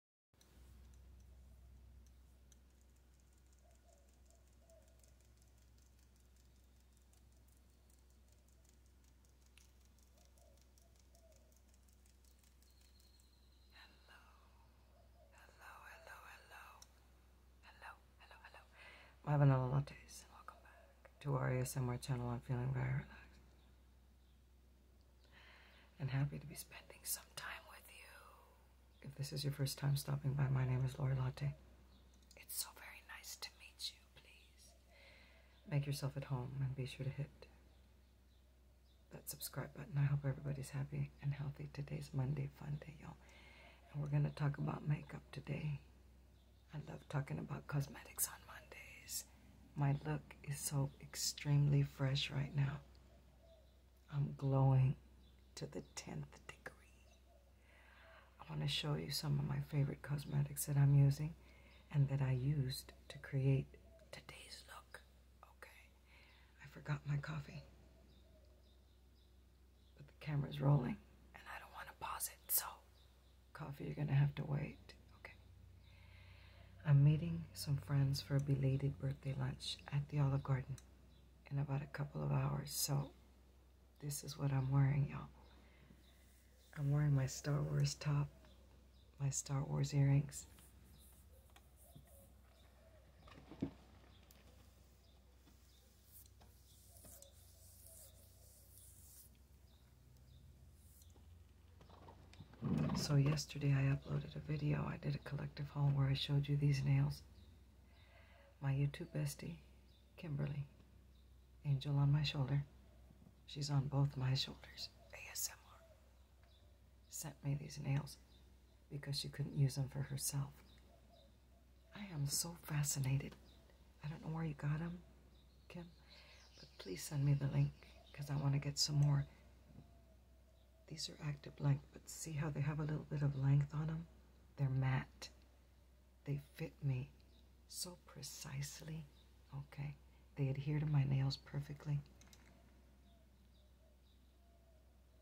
hello, hello, hello, hello, hello. My vanilla lattes, and welcome back to our ASMR channel. I'm feeling very relaxed and happy to be spending some time with you. If this is your first time stopping by, my name is Lori Latte. It's so very nice to meet you, please. Make yourself at home and be sure to hit that subscribe button. I hope everybody's happy and healthy. Today's Monday, fun day, y'all. And we're going to talk about makeup today. I love talking about cosmetics on Mondays. My look is so extremely fresh right now. I'm glowing to the 10th degree. I want to show you some of my favorite cosmetics that I'm using and that I used to create today's look. Okay, I forgot my coffee, but the camera's rolling and I don't want to pause it, so coffee, you're going to have to wait. Okay, I'm meeting some friends for a belated birthday lunch at the Olive Garden in about a couple of hours. So this is what I'm wearing, y'all. I'm wearing my Star Wars top, my Star Wars earrings. So yesterday I uploaded a video. I did a collective haul where I showed you these nails. My YouTube bestie, Kimberly, angel on my shoulder. She's on both my shoulders. ASMR sent me these nails because she couldn't use them for herself. I am so fascinated. I don't know where you got them, Kim, but please send me the link because I want to get some more these are active length, but see how they have a little bit of length on them? They're matte. They fit me so precisely. Okay. They adhere to my nails perfectly.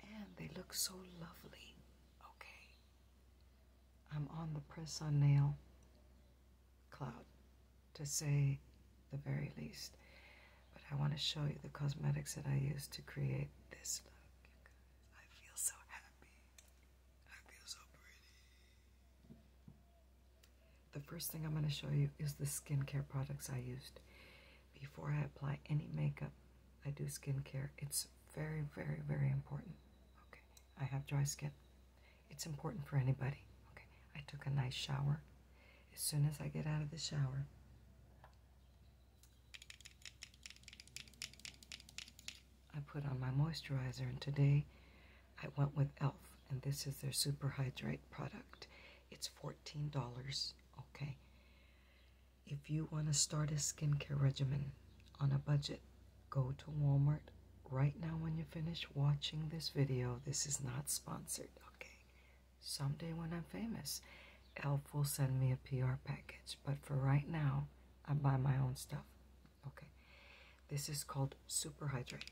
And they look so lovely. Okay. I'm on the press on nail cloud to say the very least. But I want to show you the cosmetics that I use to create this look. I feel so happy. I feel so pretty. The first thing I'm going to show you is the skincare products I used. Before I apply any makeup, I do skincare. It's very, very, very important. Okay, I have dry skin. It's important for anybody. Okay, I took a nice shower as soon as I get out of the shower. I put on my moisturizer, and today I went with e.l.f., and this is their Super Hydrate product. It's $14, okay? If you want to start a skincare regimen on a budget, go to Walmart right now when you finish watching this video. This is not sponsored, okay? Someday when I'm famous, Elf will send me a PR package, but for right now, I buy my own stuff. Okay. This is called Super Hydrate.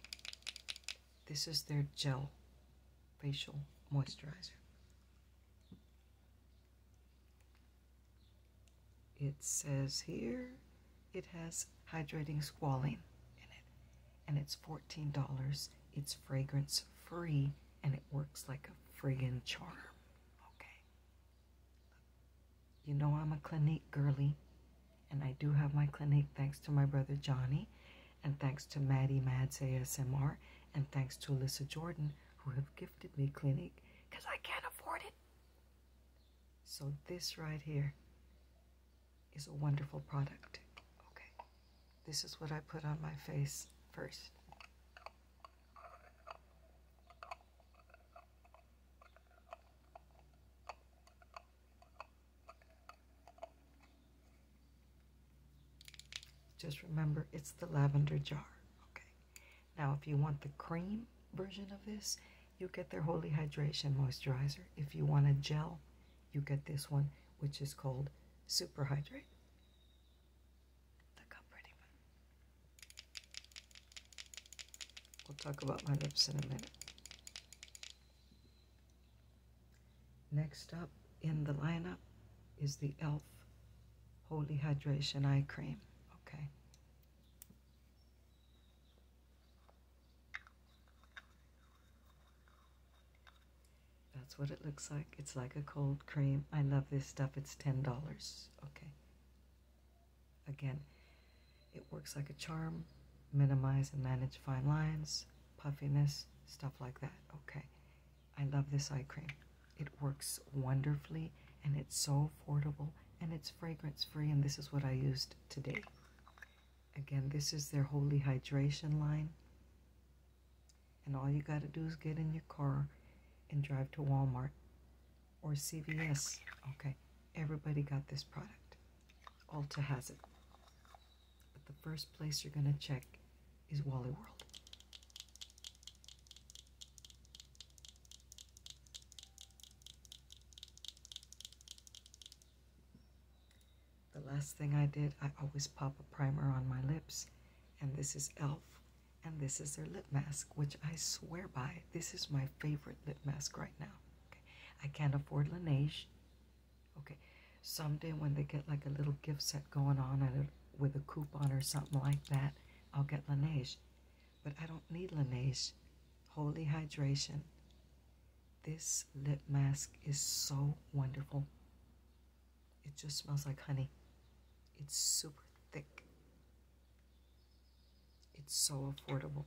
This is their gel facial moisturizer. It says here it has hydrating squalene in it, and it's $14. It's fragrance free and it works like a friggin' charm. Okay. You know I'm a Clinique girly, and I do have my Clinique thanks to my brother Johnny, and thanks to Maddie Mads ASMR, and thanks to Alyssa Jordan who have gifted me Clinique because I can't afford it. So this right here is a wonderful product. Okay. This is what I put on my face first. Just remember, it's the lavender jar. Okay. Now, if you want the cream version of this, you get their Holy Hydration Moisturizer. If you want a gel, you get this one, which is called Super Hydrate. Look how pretty one. We'll talk about my lips in a minute. Next up in the lineup is the e.l.f. Holy Hydration Eye Cream. Okay. That's what it looks like. It's like a cold cream. I love this stuff. It's $10. Okay. Again, it works like a charm. Minimize and manage fine lines, puffiness, stuff like that. Okay. I love this eye cream. It works wonderfully and it's so affordable and it's fragrance free and this is what I used today. Again, this is their Holy Hydration line. And all you got to do is get in your car and drive to Walmart or CVS. Okay, everybody got this product. Ulta has it. But the first place you're going to check is Wally World. The last thing I did, I always pop a primer on my lips. And this is e.l.f. And this is their lip mask, which I swear by. This is my favorite lip mask right now. Okay. I can't afford Laneige. Okay. Someday when they get like a little gift set going on with a coupon or something like that, I'll get Laneige. But I don't need Laneige. Holy Hydration. This lip mask is so wonderful. It just smells like honey. It's super thick. It's so affordable.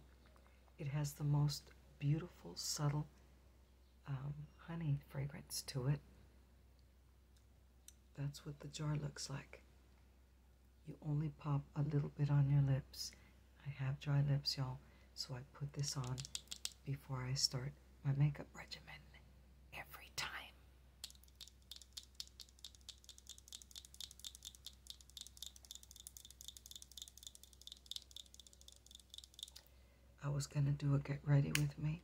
It has the most beautiful, subtle um, honey fragrance to it. That's what the jar looks like. You only pop a little bit on your lips. I have dry lips, y'all, so I put this on before I start my makeup regimen every time. I was going to do a get ready with me,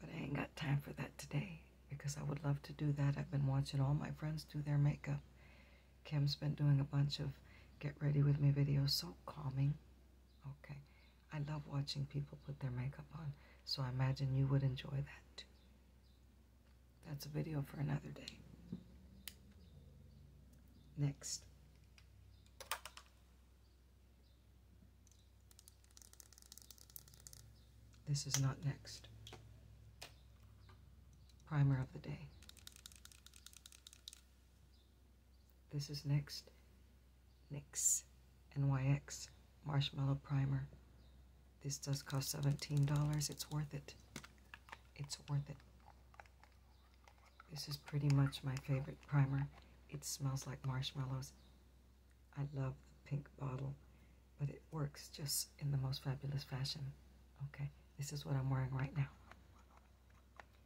but I ain't got time for that today because I would love to do that. I've been watching all my friends do their makeup. Kim's been doing a bunch of get ready with me videos. So calming. Okay. I love watching people put their makeup on, so I imagine you would enjoy that too. That's a video for another day. Next. This is not next. Primer of the day. This is next NYX NYX Marshmallow Primer. This does cost $17. It's worth it. It's worth it. This is pretty much my favorite primer. It smells like marshmallows. I love the pink bottle, but it works just in the most fabulous fashion. Okay, this is what I'm wearing right now.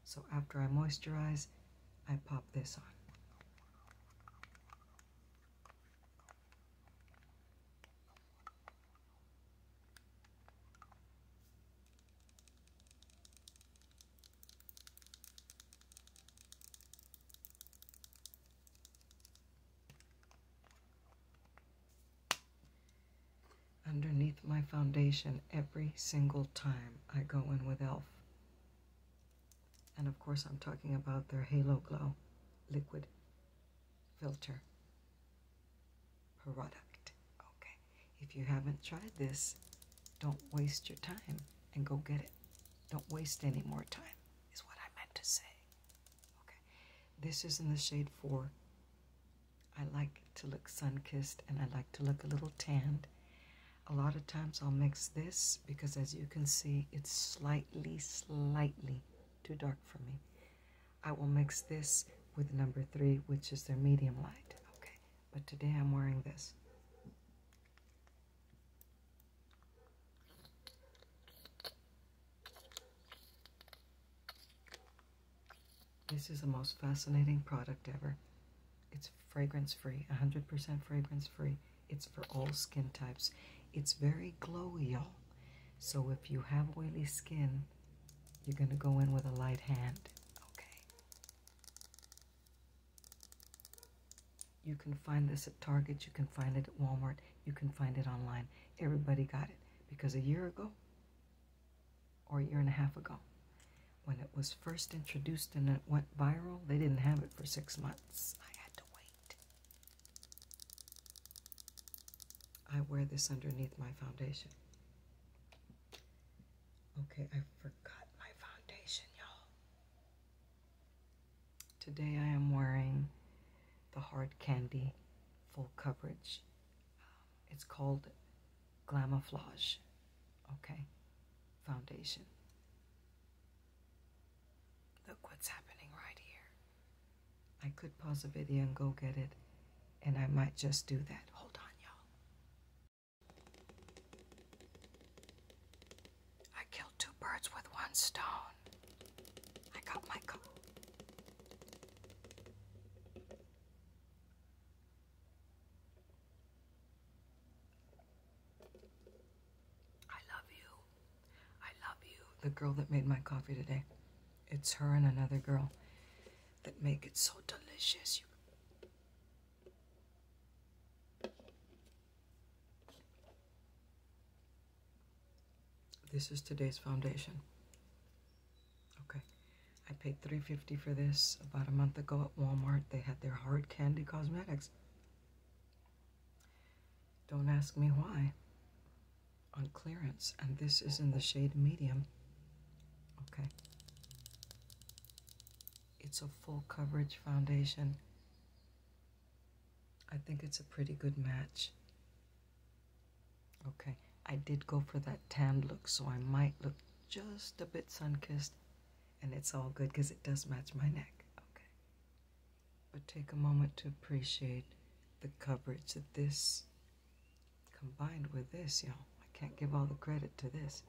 So after I moisturize, I pop this on underneath my foundation every single time I go in with e.l.f. And of course, I'm talking about their Halo Glow liquid filter product. Okay, if you haven't tried this, don't waste your time and go get it. Don't waste any more time, is what I meant to say. Okay, this is in the shade 4. I like to look sun kissed and I like to look a little tanned. A lot of times I'll mix this because as you can see, it's slightly, slightly too dark for me. I will mix this with number three, which is their medium light. Okay, but today I'm wearing this. This is the most fascinating product ever. It's fragrance free, 100% fragrance free. It's for all skin types. It's very glowial. So if you have oily skin, you're going to go in with a light hand. Okay. You can find this at Target. You can find it at Walmart. You can find it online. Everybody got it. Because a year ago, or a year and a half ago, when it was first introduced and it went viral, they didn't have it for six months. I had to wait. I wear this underneath my foundation. Okay, I forgot my foundation, y'all. Today I am wearing the Hard Candy Full Coverage. Um, it's called Glamouflage, okay, foundation. Look what's happening right here. I could pause the video and go get it, and I might just do that. Hold on, y'all. I killed two birds with one stone. I got my coat. I love you. I love you. The girl that made my coffee today. It's her and another girl that make it so delicious. You This is today's foundation. Okay. I paid three fifty for this about a month ago at Walmart. They had their hard candy cosmetics. Don't ask me why. On clearance, and this is in the shade medium. Okay. It's a full coverage foundation. I think it's a pretty good match. Okay, I did go for that tanned look, so I might look just a bit sun-kissed, and it's all good because it does match my neck. Okay but take a moment to appreciate the coverage of this combined with this, y'all. I can't give all the credit to this.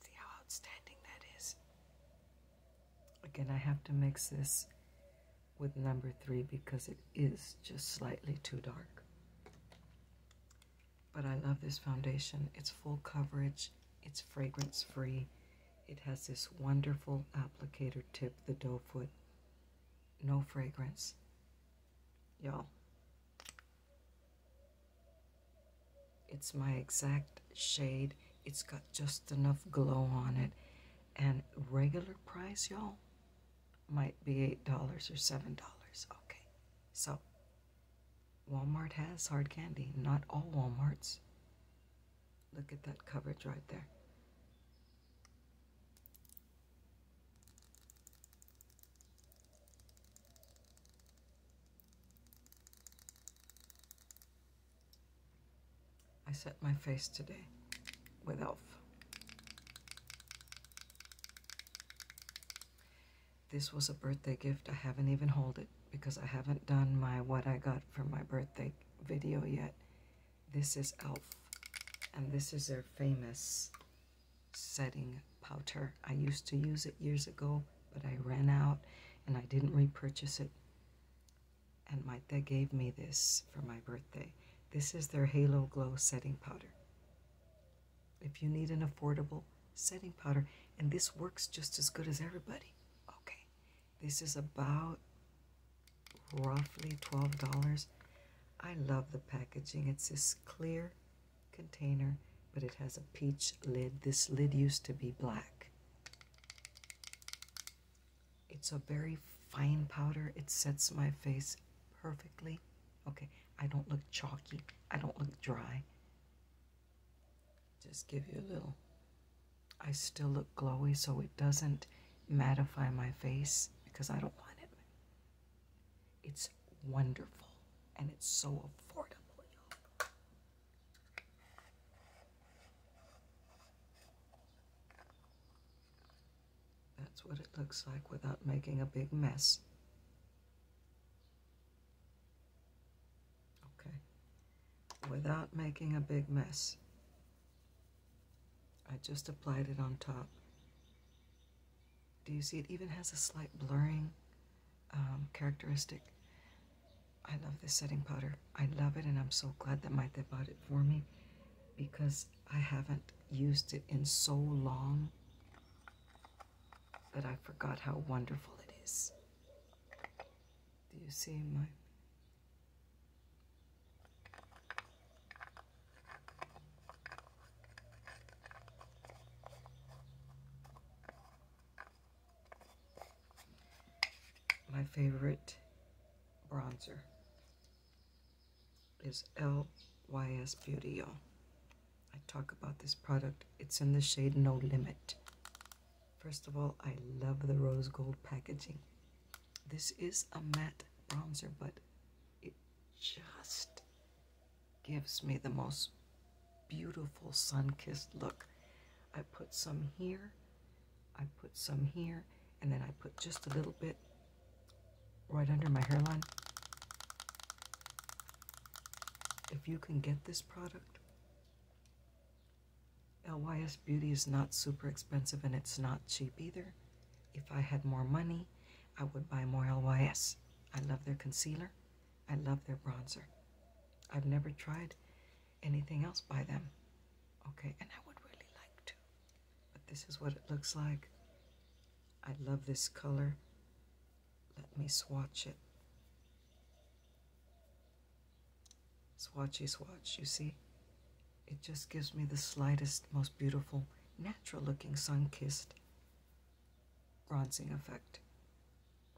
See how outstanding that is. Again, I have to mix this with number three because it is just slightly too dark. But I love this foundation. It's full coverage, it's fragrance free. It has this wonderful applicator tip, the doe foot. No fragrance. Y'all. It's my exact shade. It's got just enough glow on it. And regular price, y'all, might be $8 or $7. Okay. So Walmart has hard candy, not all Walmarts. Look at that coverage right there. I set my face today with e.l.f. This was a birthday gift. I haven't even hold it because I haven't done my what I got for my birthday video yet. This is e.l.f. And this is their famous setting powder. I used to use it years ago, but I ran out and I didn't repurchase it. And Mytha gave me this for my birthday. This is their Halo Glow setting powder if you need an affordable setting powder. And this works just as good as everybody. Okay, this is about roughly $12. I love the packaging. It's this clear container, but it has a peach lid. This lid used to be black. It's a very fine powder. It sets my face perfectly. Okay, I don't look chalky. I don't look dry. Just give you a little. I still look glowy, so it doesn't mattify my face because I don't want it. It's wonderful and it's so affordable, y'all. That's what it looks like without making a big mess okay, without making a big mess. I just applied it on top. Do you see it even has a slight blurring um, characteristic? I love this setting powder. I love it and I'm so glad that Maite bought it for me because I haven't used it in so long. But I forgot how wonderful it is. Do you see my? My favorite bronzer is LYS Beauty, Oil. I talk about this product. It's in the shade No Limit. First of all, I love the rose gold packaging. This is a matte bronzer, but it just gives me the most beautiful sun-kissed look. I put some here, I put some here, and then I put just a little bit right under my hairline. If you can get this product, LYS Beauty is not super expensive and it's not cheap either. If I had more money, I would buy more LYS. I love their concealer. I love their bronzer. I've never tried anything else by them. Okay, and I would really like to. But this is what it looks like. I love this color. Let me swatch it. Swatchy swatch, you see? It just gives me the slightest, most beautiful, natural looking sun kissed bronzing effect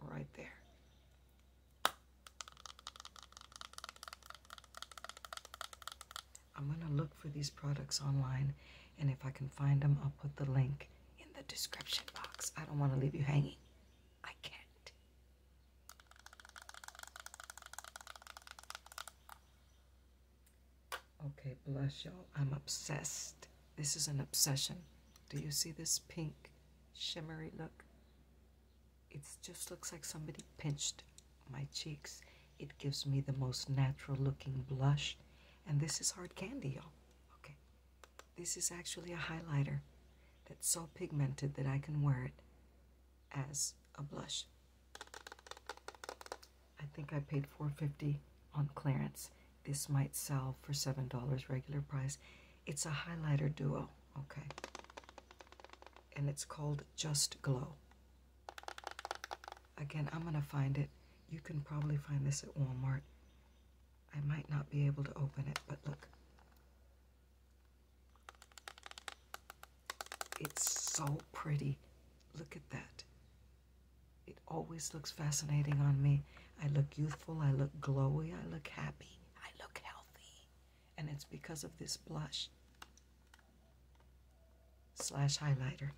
right there. I'm going to look for these products online, and if I can find them, I'll put the link in the description box. I don't want to leave you hanging. I can't. Okay, blush, y'all. I'm obsessed. This is an obsession. Do you see this pink shimmery look? It just looks like somebody pinched my cheeks. It gives me the most natural looking blush. And this is hard candy, y'all. Okay. This is actually a highlighter that's so pigmented that I can wear it as a blush. I think I paid $4.50 on clearance. This might sell for $7 regular price. It's a highlighter duo, okay? And it's called Just Glow. Again, I'm going to find it. You can probably find this at Walmart. I might not be able to open it, but look. It's so pretty. Look at that. It always looks fascinating on me. I look youthful, I look glowy, I look happy, I look healthy. And it's because of this blush slash highlighter.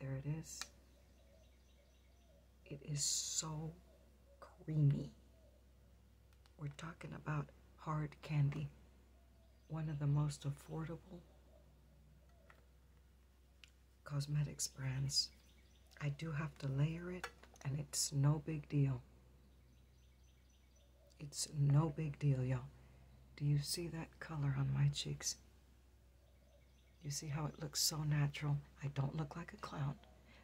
There it is. It is so creamy. We're talking about hard candy, one of the most affordable cosmetics brands. I do have to layer it, and it's no big deal. It's no big deal, y'all. Do you see that color on my cheeks? You see how it looks so natural? I don't look like a clown.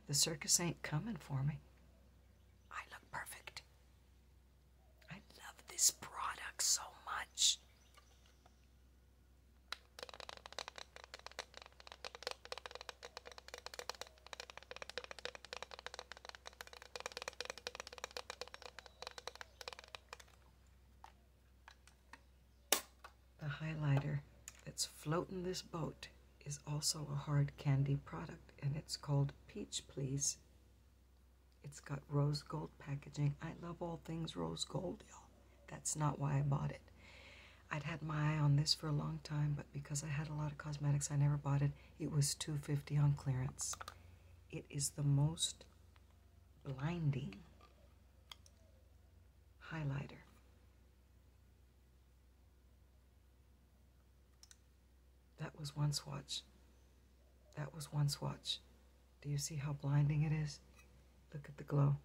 The circus ain't coming for me. I look perfect. I love this product so much. The highlighter that's floating this boat is also a hard candy product and it's called Peach Please. It's got rose gold packaging. I love all things rose gold, y'all. That's not why I bought it. I'd had my eye on this for a long time, but because I had a lot of cosmetics, I never bought it. It was two fifty on clearance. It is the most blinding highlighter that was one swatch. That was one swatch. Do you see how blinding it is? Look at the glow.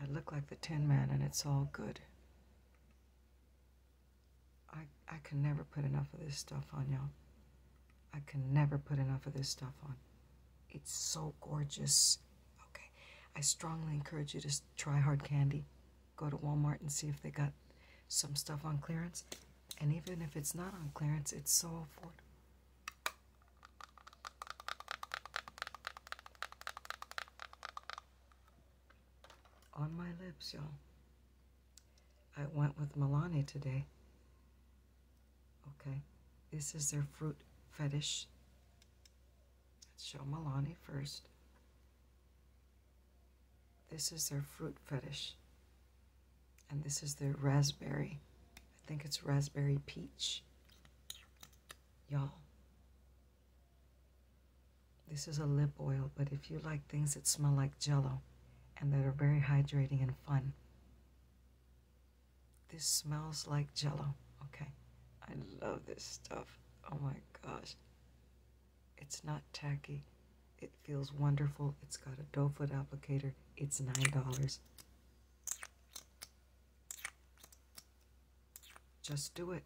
I look like the Tin Man, and it's all good. I, I can never put enough of this stuff on, y'all. I can never put enough of this stuff on. It's so gorgeous. Okay. I strongly encourage you to try hard candy. Go to Walmart and see if they got some stuff on clearance. And even if it's not on clearance, it's so affordable. On my lips, y'all. I went with Milani today Okay, this is their fruit fetish. Let's show Milani first. This is their fruit fetish. And this is their raspberry. I think it's raspberry peach. Y'all. This is a lip oil, but if you like things that smell like jello and that are very hydrating and fun, this smells like jello. Okay. I love this stuff. Oh my gosh. It's not tacky. It feels wonderful. It's got a doe foot applicator. It's $9. Just do it.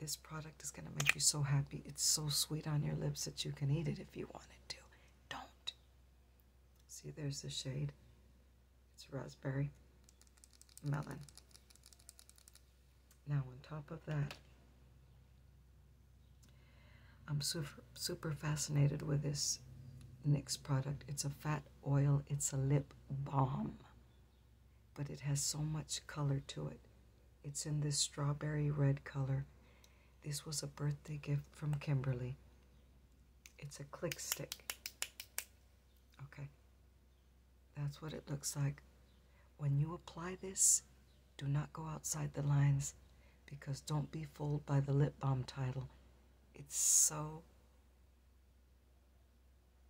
This product is going to make you so happy. It's so sweet on your lips that you can eat it if you wanted to. Don't. See, there's the shade. It's raspberry, melon. Now on top of that, I'm super, super fascinated with this next product. It's a fat oil, it's a lip balm, but it has so much color to it. It's in this strawberry red color. This was a birthday gift from Kimberly. It's a click stick. Okay. That's what it looks like. When you apply this, do not go outside the lines because don't be fooled by the lip balm title. It's so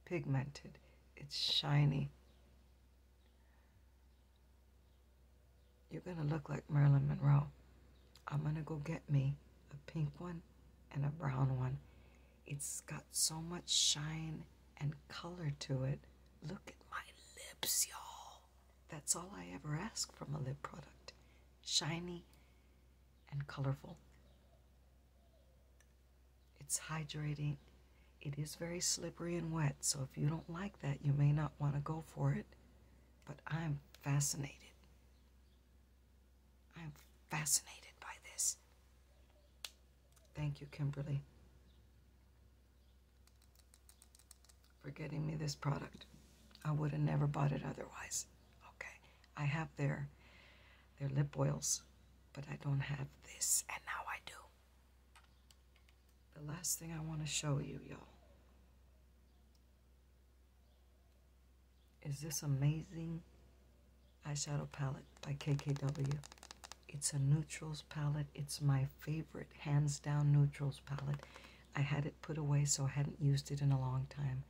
pigmented. It's shiny. You're going to look like Marilyn Monroe. I'm going to go get me a pink one and a brown one. It's got so much shine and color to it. Look at my lips, y'all. That's all I ever ask from a lip product. Shiny and colorful. It's hydrating. It is very slippery and wet, so if you don't like that, you may not want to go for it. But I'm fascinated I'm fascinated by this. Thank you, Kimberly, for getting me this product. I would have never bought it otherwise. Okay, I have their, their lip oils, but I don't have this, and now I do. The last thing I want to show you, y'all, is this amazing eyeshadow palette by KKW. It's a neutrals palette. It's my favorite, hands down neutrals palette. I had it put away, so I hadn't used it in a long time.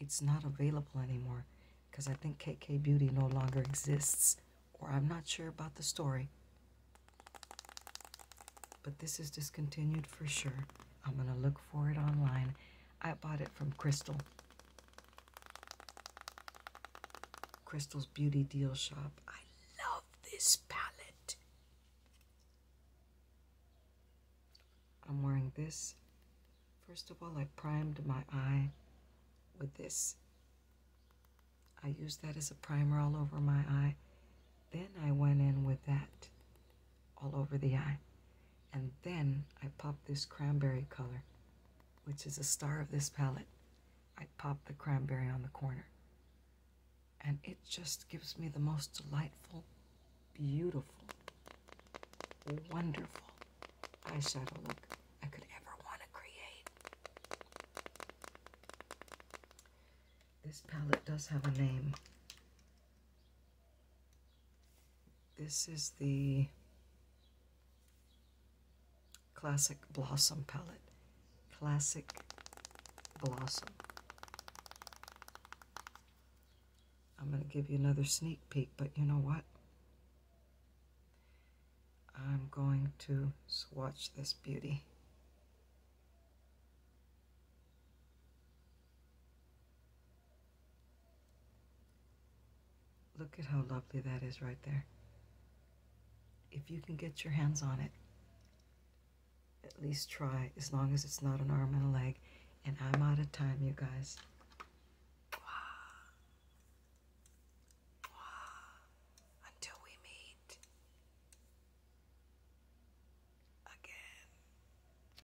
It's not available anymore because I think KK Beauty no longer exists, or I'm not sure about the story. But this is discontinued for sure. I'm going to look for it online. I bought it from Crystal. Crystal's Beauty Deal Shop. I love this palette. I'm wearing this. First of all, I primed my eye with this. I used that as a primer all over my eye. Then I went in with that all over the eye. And then I pop this cranberry color, which is a star of this palette. I pop the cranberry on the corner. And it just gives me the most delightful, beautiful, wonderful eyeshadow look I could ever want to create. This palette does have a name. This is the Classic Blossom palette. Classic Blossom. I'm going to give you another sneak peek, but you know what? I'm going to swatch this beauty. Look at how lovely that is right there. If you can get your hands on it, at least try, as long as it's not an arm and a leg. And I'm out of time, you guys. Until we meet again.